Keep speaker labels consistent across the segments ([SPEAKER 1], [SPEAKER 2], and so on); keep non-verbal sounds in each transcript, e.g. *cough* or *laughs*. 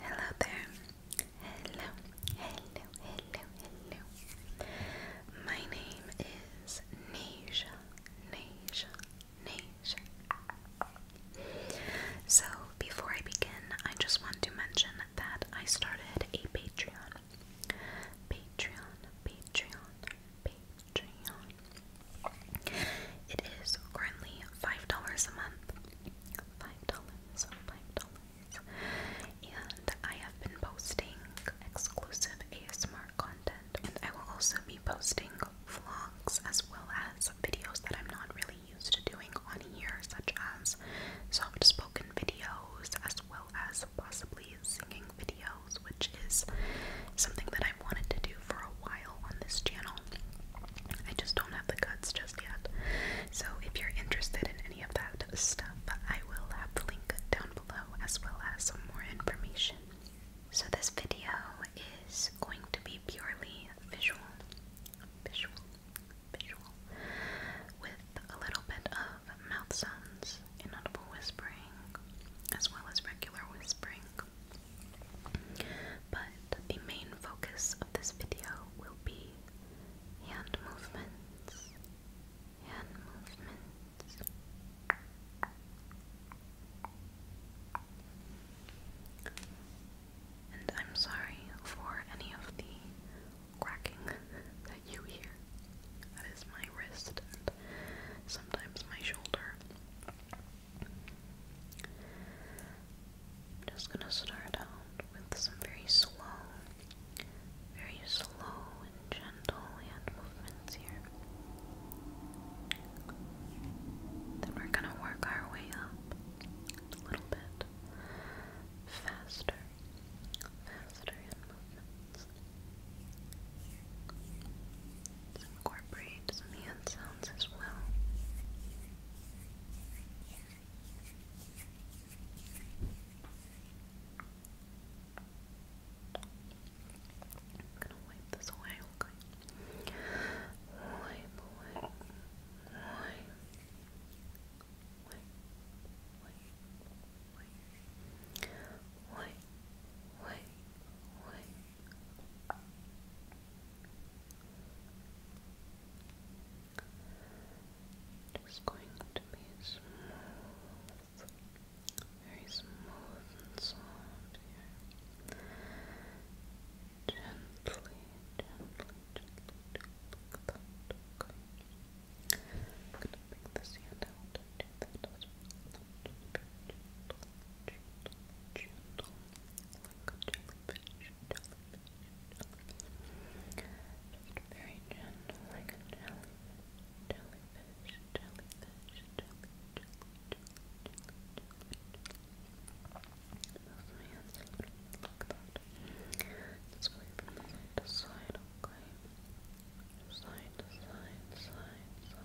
[SPEAKER 1] Hello there. Hello, hello, hello, hello. My name is Nisha, Nisha, Nisha. So, before I begin, I just want to mention that I started a Patreon. Patreon, Patreon, Patreon. It is currently five dollars a month. Five dollars, five dollars. And I have been posting exclusive ASMR content, and I will also be posting vlogs as well as videos that I'm not really used to doing on here, such as soft spoken videos, as well as possibly singing videos which is something that I wanted to do for a while on this channel. I just don't have the guts just yet. So if you're interested in any of that stuff, I will have the link down below as well as some more information. So this video is going to be purely visual, visual, visual, with a little bit of mouth sounds, inaudible whispering, as well as regular whispering. But the main focus of this video will be hand movements. Hand movements. And I'm sorry for any of the cracking *laughs* that you hear. That is my wrist and sometimes my shoulder. I'm just gonna start out with some very slow, very slow and gentle hand movements here. Then we're gonna work our way up a little bit faster, faster hand movements. Let's incorporate some hand sounds as well. I'm gonna wipe this away, okay? Wipe away, wipe, wipe, wipe, wipe, wipe, wipe, wipe, just going to be smooth, very smooth and soft here. Gently, gently, gently, gently. Okay. I'm gonna bring this hand out and very gentle, like a jellyfish, jellyfish, jellyfish, jellyfish, jellyfish, jellyfish, Side, okay. Side to side, side, side,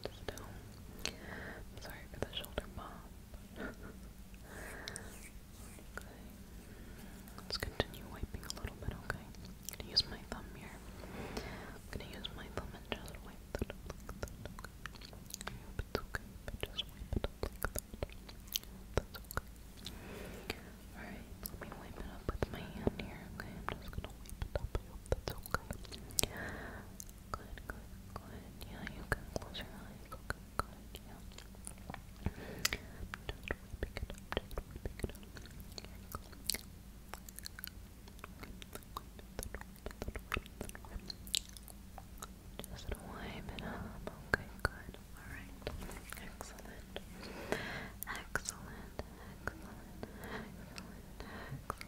[SPEAKER 1] Still, I'm sorry for the shoulder pop. let's continue wiping a little bit. Okay, I'm gonna use my thumb here. I'm gonna use my thumb and just wipe that up Okay, That's okay. Alright, let me wipe it up with my hand here. Okay, I'm just gonna wipe it up. that's okay. Good, good, good. Yeah, you can close your eyes. Okay, good, yeah. Just whipping it up, just whipping it up. Here we go. Just wipe it up. Okay, good. Alright. Excellent. Excellent. Excellent. Excellent.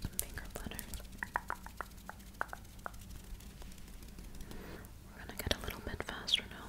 [SPEAKER 1] Some finger butter. We're gonna get a little bit faster now,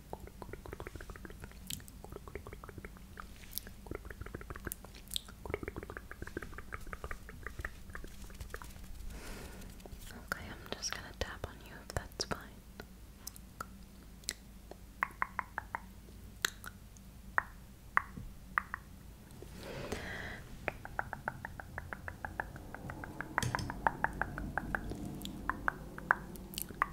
[SPEAKER 1] Okay, I'm just gonna tap on you if that's fine. Okay.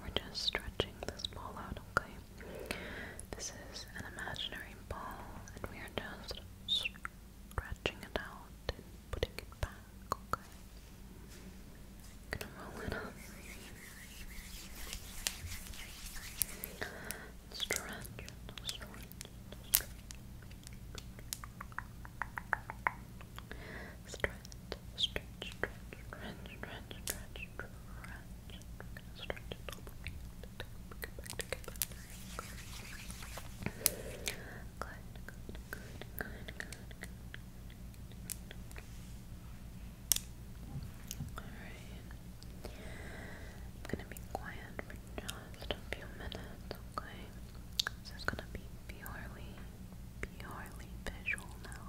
[SPEAKER 1] We're just stretching this ball out, okay? This is an imaginary ball, and we are just scratching it out and putting it back, gonna roll it up. stretch, stretch. Stretch, stretch, stretch, stretch, stretch, stretch, stretch it. we Alright. I'm gonna be quiet for just a few minutes, okay? This is gonna be purely, purely visual now.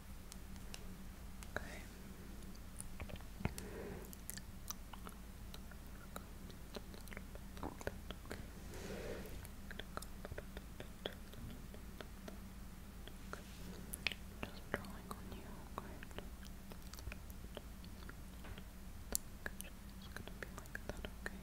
[SPEAKER 1] Okay. Just drawing on you, okay? gonna be like that, okay?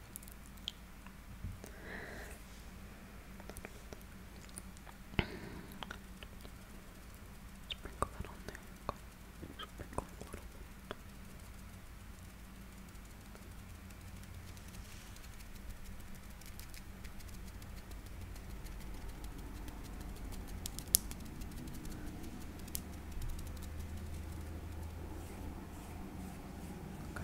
[SPEAKER 1] Sprinkle that on there. Sprinkle a little bit. Okay, do it like that.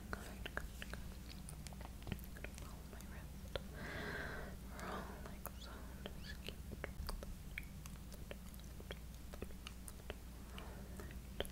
[SPEAKER 1] good, good, good. I'm gonna roll my wrist. Roll like so. Just keep it. Roll it, roll it, roll it, roll it.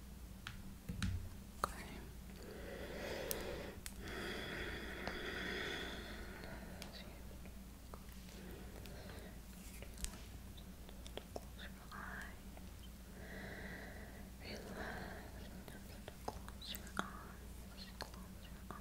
[SPEAKER 1] Okay. Close your eyes. Relax. Close your eyes. Close your eyes.